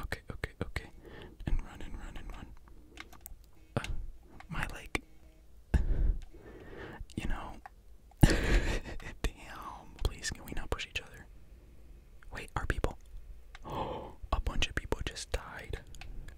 Okay, okay, okay. And run and run and run. Uh, my leg. you know. Damn. Please, can we not push each other? Wait, our people. Oh, a bunch of people just died.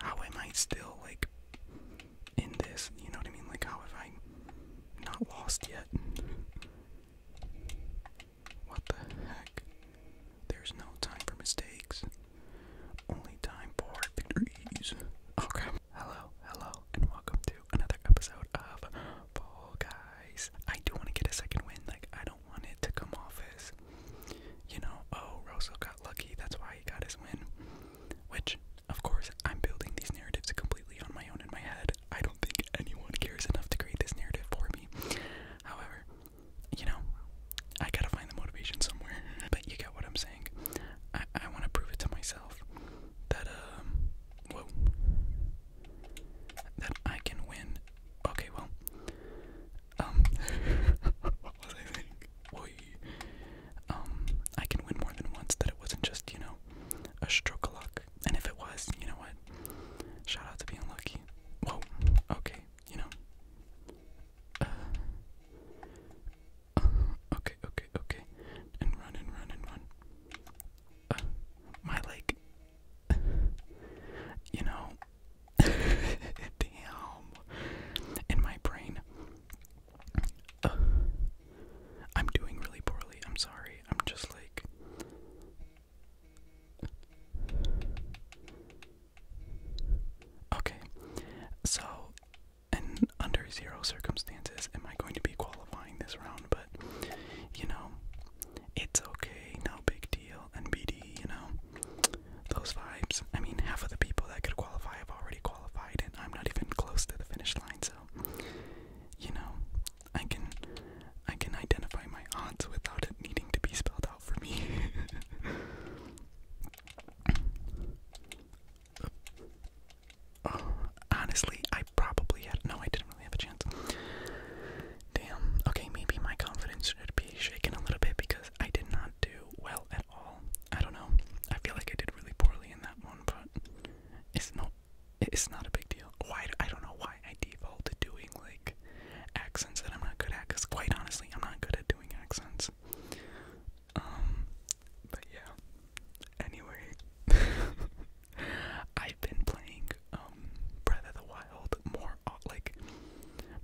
How am I still, like, in this? You know what I mean? Like, how have I not lost yet? What the heck? There's no time for mistakes. Only time for victories. Oh Hello, hello, and welcome to another episode of Fall Guys. I do want to get a second win. Like, I don't want it to come off as, you know, oh, Rosso got lucky. That's why he got his win. Which, of course, I'm building these narratives completely on my own in my head. I don't think anyone cares enough to create this narrative for me. However, you know, I gotta find the motivation somewhere. But you get what I'm saying. I I want to prove it to myself that um, whoa, that I can win. Okay, well, um, what was I thinking? Um, I can win more than once. That it wasn't just you know a stroke of luck. And if it was, you know what? Shout out to being lucky. Whoa. Okay you know. Uh, okay, okay, okay. And run and run and run. Uh, my leg. you know. Damn. In my brain. Uh, I'm doing really poorly. I'm sorry. I'm just like. Okay, so and under zero circumstances am I going to be qualifying this round, but you know, it's okay, no big deal, and BD, you know, those vibes. I mean, half of the people that could qualify have already qualified, and I'm not even close to the finish line, so you know, I can I can identify my odds without it needing to be spelled out. honestly, I probably had no, I didn't really have a chance. Damn. Okay, maybe my confidence should be shaken a little bit because I did not do well at all. I don't know. I feel like I did really poorly in that one, but it's no, it's not a big deal. Why? I don't know why I default to doing like accents that I'm not good at because quite honestly I'm not good at doing accents. Um, but yeah. Anyway I've been playing um, Breath of the Wild more uh, like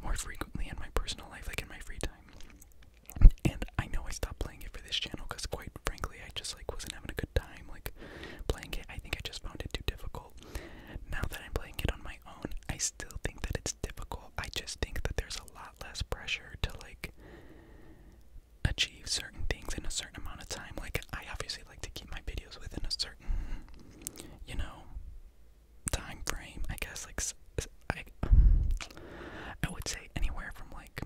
more frequently in my personal life, like in my free time. And I know I stopped playing it for this channel because quite frankly I just like wasn't having a good time like playing it. I think I just found it too difficult. Now that I'm playing it on my I still think that it's difficult. I just think that there's a lot less pressure to like achieve certain things in a certain amount of time. Like I obviously like to keep my videos within a certain, you know, time frame. I guess like I, I would say anywhere from like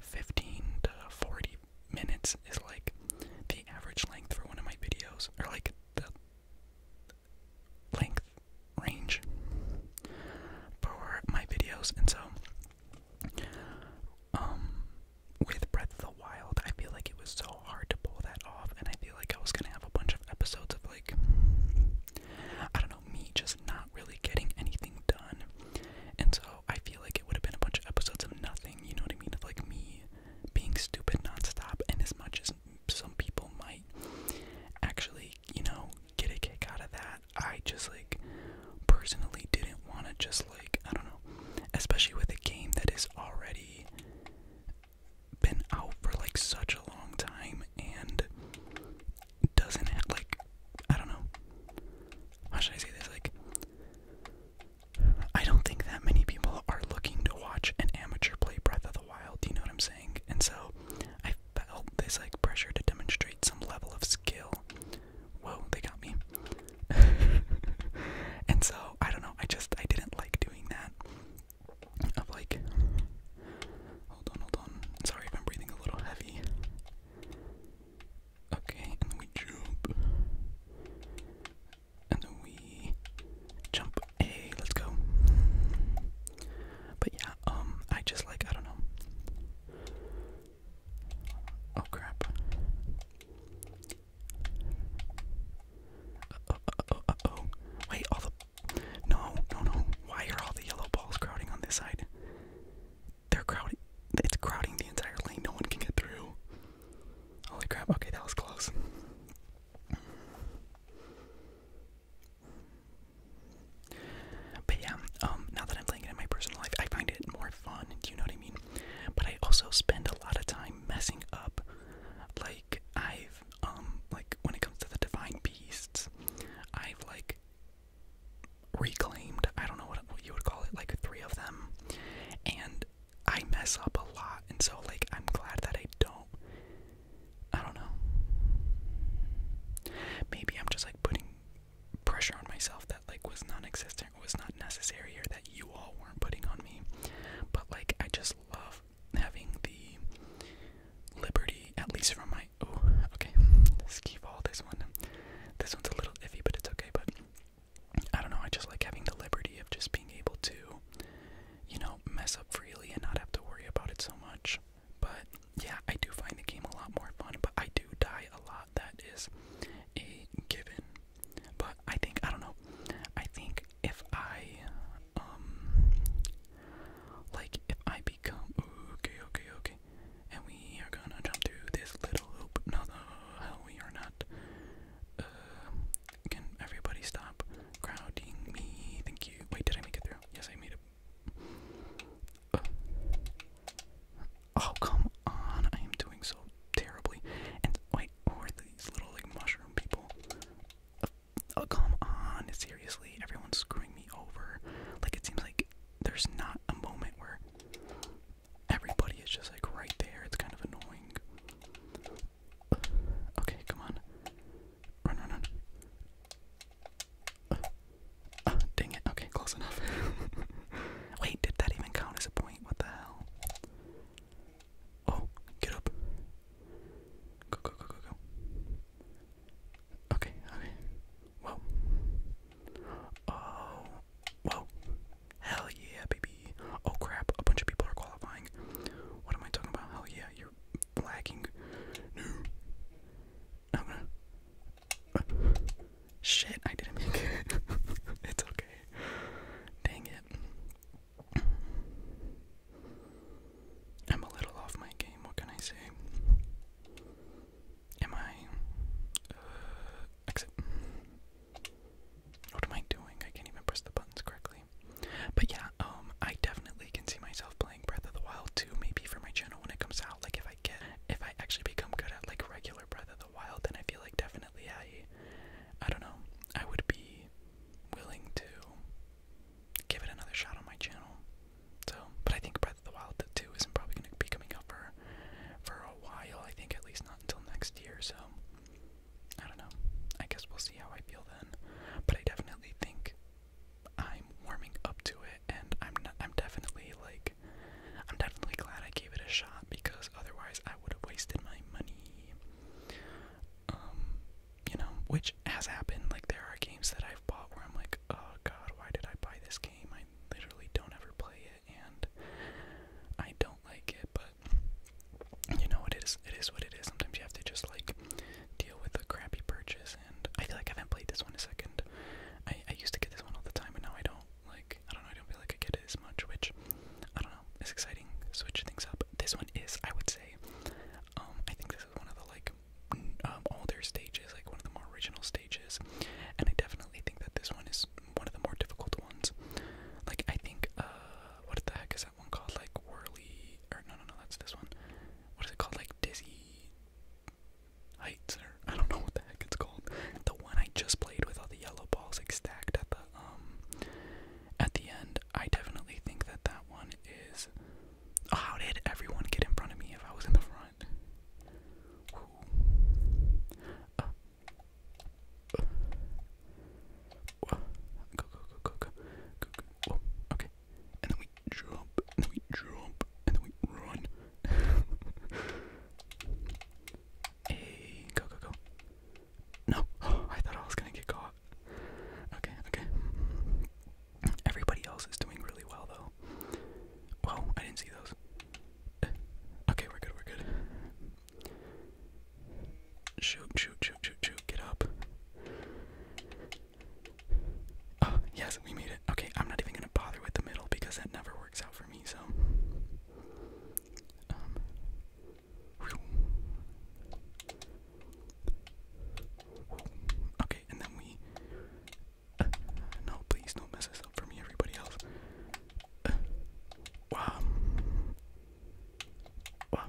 15 to 40 minutes is like the average length for one of my videos, or like the length range for my videos, and so um, with Breath of the Wild, I feel like it was so hard to pull that off, and I feel like I was gonna have a bunch of episodes of like I don't know me just not really getting anything done, and so I feel like it would have been a bunch of episodes of nothing. You know what I mean? Of like me being stupid nonstop, and as much as some people might actually, you know, get a kick out of that. I just like personally didn't want to just like, I don't know, especially with a game that is already been out for like such a long time and doesn't have like I don't know. How should I say this? Like I don't think that many people are looking to to watch an amateur play Breath of the Wild, you know what I'm saying? And so I felt this like pressure to demonstrate some level of skill. Whoa, they got me. and so I don't know, I just I didn't like doing that. Of like hold on, hold on. Sorry if I'm breathing a little heavy. Okay, and then we jump and we jump a let's go but yeah um I just like I don't know oh crap uh, uh, uh, uh, oh wait all the no no no why are all the yellow balls crowding on this side they're crowding it's crowding the entire lane no one can get through holy crap okay that was close but yeah, um, now that I'm playing it in my personal life, I find it more fun. Do you know what I mean? But I also spend a lot of time messing up. Like I've, um, like when it comes to the divine beasts, I've like reclaimed. I don't know what you would call it. Like three of them, and I mess up a lot, and so like I'm glad that I don't. I don't know. Maybe I'm just like putting pressure on myself that like was non-existent, was not necessary, or that you all weren't putting on me. But like I just love having the liberty, at least from my. Oh, okay. Skee-ball this one. This one's a little iffy, but it's okay. But I don't know. I just like having the liberty of just being able to you know, mess up freely and not have to worry about it so much. But yeah, I do find the game a lot more fun, but I do die a lot. That is a given. But I think, I don't know, I think if I, um, like if I become, okay, okay, okay, and we are gonna jump through this little hoop, no, the hell, we are not, uh, can everybody stop crowding me? Thank you. Wait, did I make it through? Yes, I made it. Oh, come on. I am doing so terribly. And wait, who are these little, like, mushroom people? oh, come on. Seriously, everyone's screwing me over. Like, it seems like there's not a moment where everybody is just, like, right there. It's kind of annoying. Okay, come on. Run, run, run. Uh, uh, dang it. Okay, close enough. Wait, did that even count as a point? What the hell? Oh, get up. Go, go, go, go, go. Okay, okay. Whoa. Oh. Whoa. Hell yeah, baby. Oh crap, a bunch of people are qualifying. What am I talking about? Hell yeah, you're lagging. No. shit, I didn't make it. it's okay. Dang it. I'm a little off my game, what can I say? Am I. Uh, exit. What am I doing? I can't even press the buttons correctly. But yeah, um, I definitely can see myself playing Breath of the Wild too, maybe for my channel when it comes out. Like if I get, if I actually become good at like regular Breath of the Wild, then I feel like definitely I, I don't know, I would be willing to give it another shot on my channel. So, but I think Breath of the Wild 2 isn't probably going to be coming out for for a while. I think at least not until next year. So, I don't know. I guess we'll see how I feel then. But I definitely think I'm warming up to it, and I'm not, I'm definitely like I'm definitely glad I gave it a shot because otherwise I would have wasted my money. Um, you know, which has happened. Like there are games that I've bought where I'm like, oh god, why did I buy this game? I literally don't ever play it, and I don't like it, but you know it is it is what it is. Sometimes you have to just like deal with a crappy purchase and I feel like I haven't played this one a second. I, I used to get this one all the time and now I don't like I don't know, I don't feel like I get it as much, which I don't know, it's exciting, switch things up. This one is, I would say, um, I think this is one of the like um, older stages, like one of the more original stages, and I definitely think that this one is one of the more difficult ones. Like I think, uh, what the heck is that one called? Like Whirly, or no, no, no, that's this one. What is it called? Like Dizzy Heights, or I don't know what the heck it's called. The one I just played with all the yellow balls like stacked at the um at the end. I definitely think that that one is. how did everyone get in front of me if I was in the front? Whoa. Go, go, go, go, go. Go, go. Whoa. Okay. And then we jump, and then we jump, and then we run. hey, go, go, go. No. Oh, I thought I was going to get caught. Okay, okay. Everybody else is doing really well, though. Whoa, I didn't see those. Eh. Okay, we're good, we're good. Shoot, shoot, shoot, shoot, shoot. Get up. Oh, yes, we made it. Okay, I'm not even gonna bother with the middle because that never works out for me, so. Um, okay, and then we. no, please don't mess this up for me, everybody else. wow. Wow.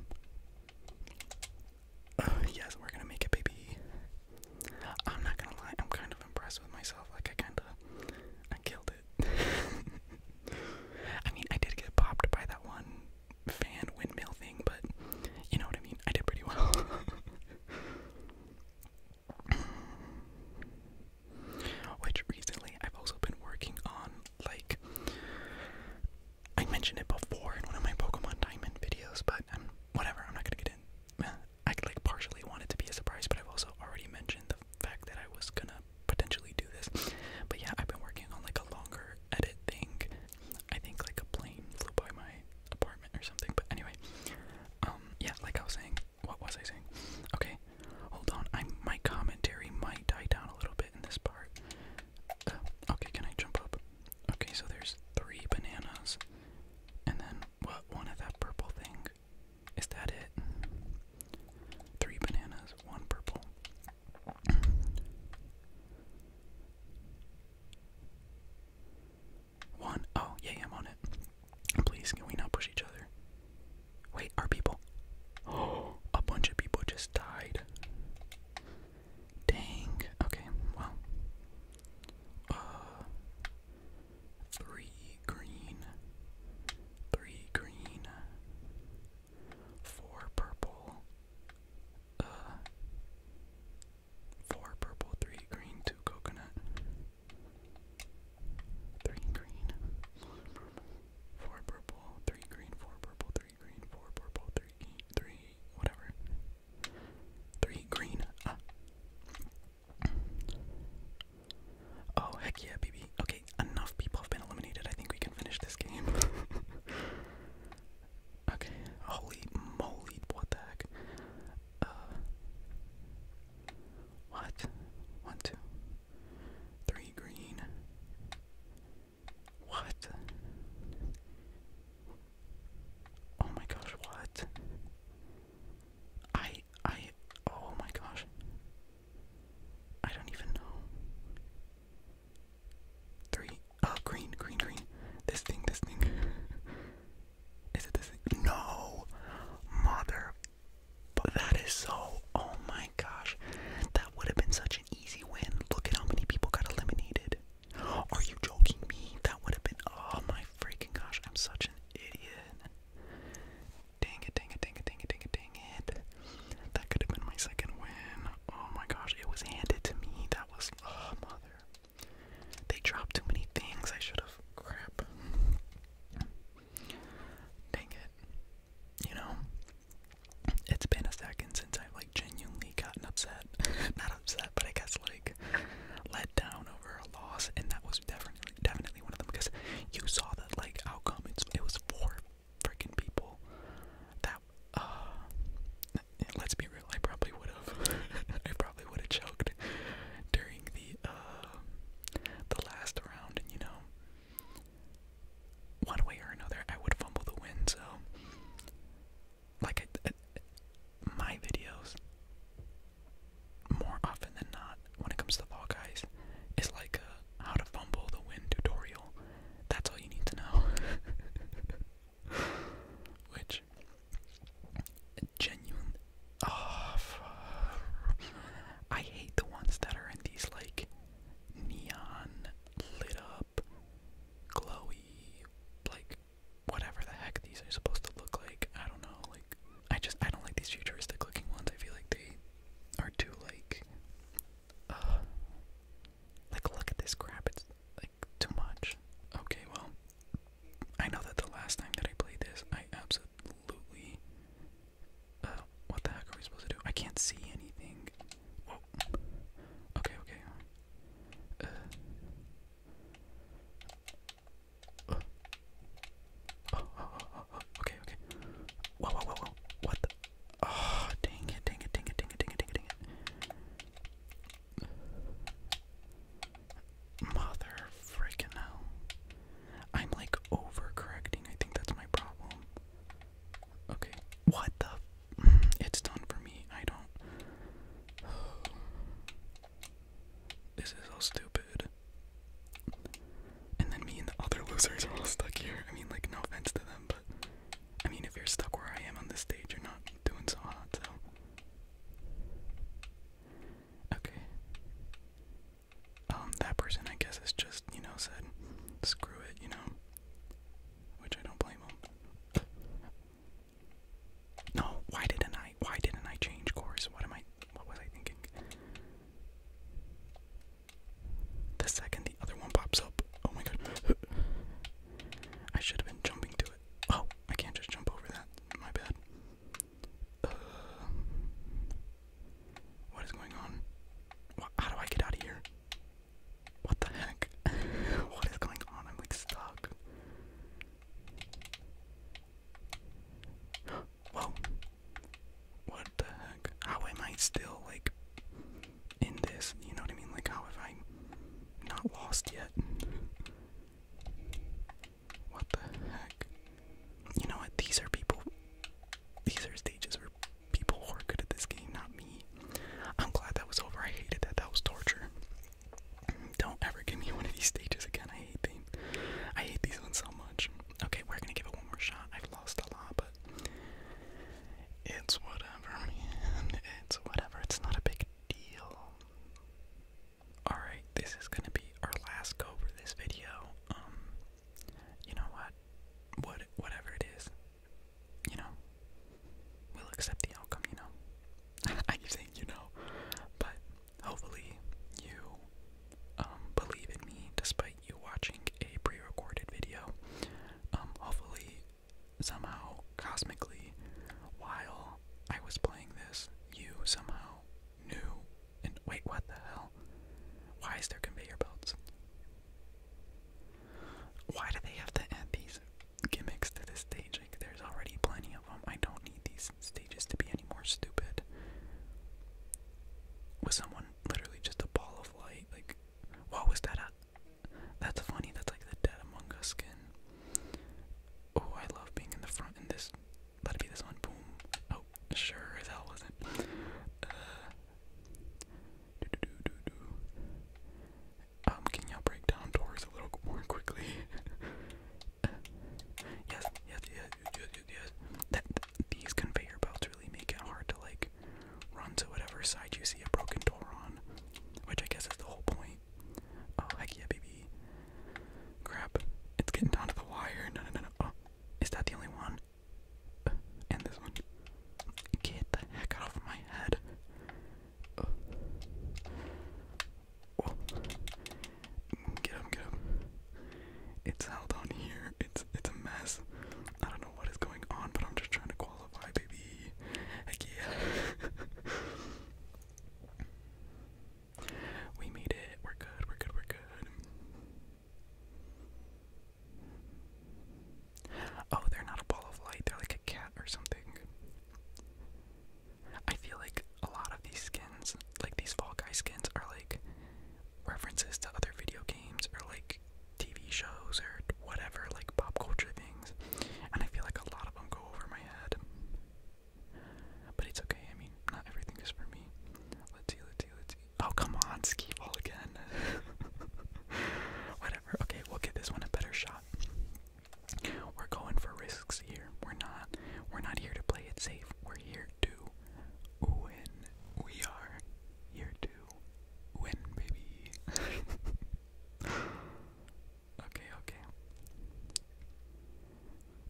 yes, we're gonna make it, baby. I'm not gonna lie, I'm kind of impressed with myself. Like, I kinda. I killed it. I mean, I did get popped by that one fan windmill thing, but you know what I mean? I did pretty well. Which recently I've also been working on like I mentioned it before in one of my Pokemon Diamond videos, but um, whatever, I'm not gonna get in. Uh, I like partially want it to be a surprise, but I've also already mentioned the fact that I was gonna potentially do this. But yeah, I've been working on like a longer edit thing. I think like a plane flew by my apartment or something. But anyway, um, yeah, like I was saying, what was I saying? Okay, hold on. I my commentary might die down a little bit in this part okay, can I jump up? Okay, so there's three bananas. And then, what, one of that purple thing? Is that it? Three bananas, one purple. one, oh, yeah, yeah, I'm on it. Please, can we not push each other? Wait, are people? Oh, a bunch of people just died. Dang. Okay, well. Uh, three green. Three green. Four purple. Uh four purple, three green, two coconut. Three green. Four purple, three green, four purple, three three green, four whatever. Three green. Ah. Oh heck yeah, baby. Okay, enough people have been eliminated. I think we can finish this game. okay. Holy moly, what the heck? Uh what? One, two, three green. What? Oh my gosh, what? I I oh my gosh. I don't even know. Three oh green, green, green. This thing, this thing. Is it this thing? No mother but that is so oh my my gosh, that would have been such an easy win. Look at how many people got eliminated. Are you joking me? That would have been, oh my freaking gosh, I'm such an idiot. Dang it, dang it, dang it, dang it, dang it, dang it. That could have been my second win. Oh my gosh, it was handed to me. That was, oh mother. They dropped too many things. I should have, crap. Dang it. You know, it's been a second since I've like genuinely gotten upset. Not upset, but I guess like let down over a loss, and that was definitely definitely one of them because you saw the like outcome. It's it was four freaking people. That uh, let's be real. I probably would have. I probably would have choked during the uh the last round, and you know one way or another, I would fumble the win. So, like, I, my videos, more often than not, when it comes to Fall Guys, is like a uh, how to fumble the win tutorial. That's all you need to know. Which, genuine. Oh, I hate the ones that are in these like neon lit up glowy, like whatever the heck these are supposed to look like. I don't know. Like I just I don't like these futuristic looking ones. I feel like they are too like uh like look at this crap. It's like too much. Okay, well I know that the last time that I played this, I absolutely uh what the heck are we supposed to do? I can't see anything. Okay, okay. Uh, uh, uh, okay, okay. Whoa, whoa, whoa, whoa. What the? Oh, dang it, dang it, dang it, dang it, dang it, dang it, Mother freaking hell. I'm like overcorrecting. I think that's my problem. Okay. What the? It's done for me. I don't. This is all stupid. And then me and the other losers are all stuck here. I mean, like, no offense to them, but I mean, if you're stuck where I am on this stage, you're not doing so hot, so. Okay. Um, that person, I guess, is just, you know, said, screw it, you know? which I don't blame him. No, why didn't I? Why didn't I change course? What am I? What was I thinking? The second the other one pops up, oh my god! I should have been jumping to it. Oh, I can't just jump over that. My bad. Uh, what is going on? How do I get out of here? What the heck? what is going on? I'm like stuck. Whoa. What the heck? How am I still like in this? You know what I mean? Like how have I not lost yet? What the heck? You know what? These are people. These are stages people who are good at this game, not me. I'm glad that was over. I hated that. That was torture. Don't ever give me one of these stages again. I hate them. I hate these ones so much. Okay, we're gonna give it one more shot. I've lost a lot, but it's whatever, It's whatever. It's not a big deal. Alright, this is gonna be our last go for this video. Um you know what? What whatever it is, you know, we'll accept the outcome, you know. I keep saying you know, but hopefully you um, believe in me despite you watching a pre-recorded video. Um, hopefully, somehow, cosmically, while I was playing this, you somehow knew. And wait, what the hell? Why is there conveyor belts? Why do they have to add these gimmicks to this stage? Like, there's already plenty of them. I don't need these stages to be any more stupid. Was someone literally just a ball of light? Like, what was that? that's funny. That's like the Dead Among Us skin. Oh, I love being in the front in this. Let be this one. Boom. Oh, sure as wasn't. Uh, do, Um, can you break down doors a little more quickly? yes, yes, yes, yes, yes, yes. these conveyor belts really make it hard to like run to whatever side you see a broken door on, which I guess is the whole point. Oh heck yeah, baby! Crap, it's getting down to the wire. No, no, no, no. Oh, is that the only one? and this one. Get the heck out of my head. Oh. Oh. Get him, get him. It's held on here. It's it's a mess. I don't know what is going on, but I'm just trying to qualify, baby. Heck yeah. we made it. We're good. We're good. We're good. Oh, they're not a ball of light, they're like a cat or something. I feel like a lot of these skins, like these Fall skins, are like references to other video games or like TV shows or whatever, like pop culture things. And I feel like a lot of them go over my head. But it's okay, I mean, not everything is for me. Let's see, let's see, let's see. Oh, come on, ski ball again. what Okay, we'll give this one a better shot. We're going for risks here. We're not we're not here to play it safe. We're here to win. We are here to win, baby. okay, okay.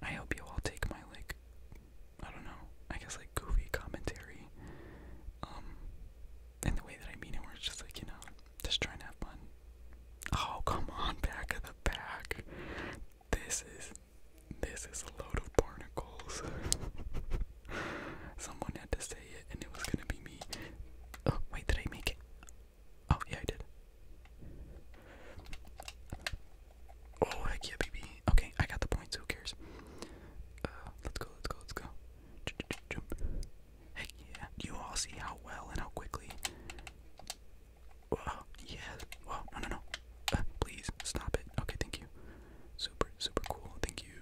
I hope you all take my like I don't know, I guess like goofy commentary. Um and the way that I mean it, where it's just like, you know, just trying to have fun. Oh, come on, back of the back. This is, this is a load of barnacles. Someone had to say it, and it was gonna be me. Oh, wait, did I make it? Oh, yeah, I did. Oh, heck yeah, baby. Okay, I got the points. Who cares? Uh, let's go, let's go, let's go. Heck yeah. you all see how well and how quickly? Oh, no, no, uh, please, stop it. Okay, thank you. Super, super cool. Thank you.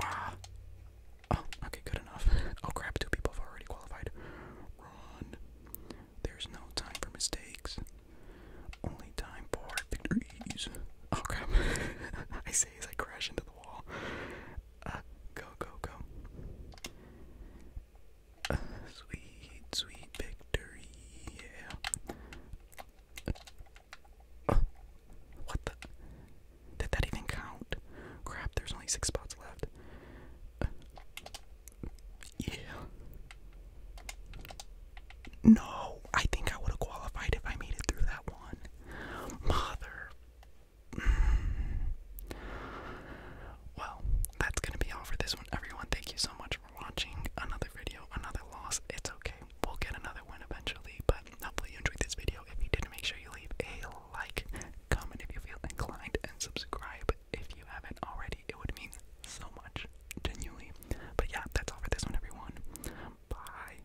Wow. Oh, okay, good enough. Oh crap, two people have already qualified. Run. There's no time for mistakes. Only time for victories. Oh crap. I as I crash into the wall. Uh, go, go, go. Uh, sweet, sweet victory, yeah. Uh, what the? Did that even count? Crap, there's only six spots left. yeah. No, I think I would have qualified if I made it through that one. Mother. Well, that's gonna be all for this one, everyone. Thank you so much for watching. Another video, another loss. It's okay. We'll get another win eventually, but hopefully you enjoyed this video. If you did, make sure you leave a like, comment if you feel inclined, and subscribe if you haven't already. It would mean so much, genuinely. But yeah, that's all for this one, everyone. Bye.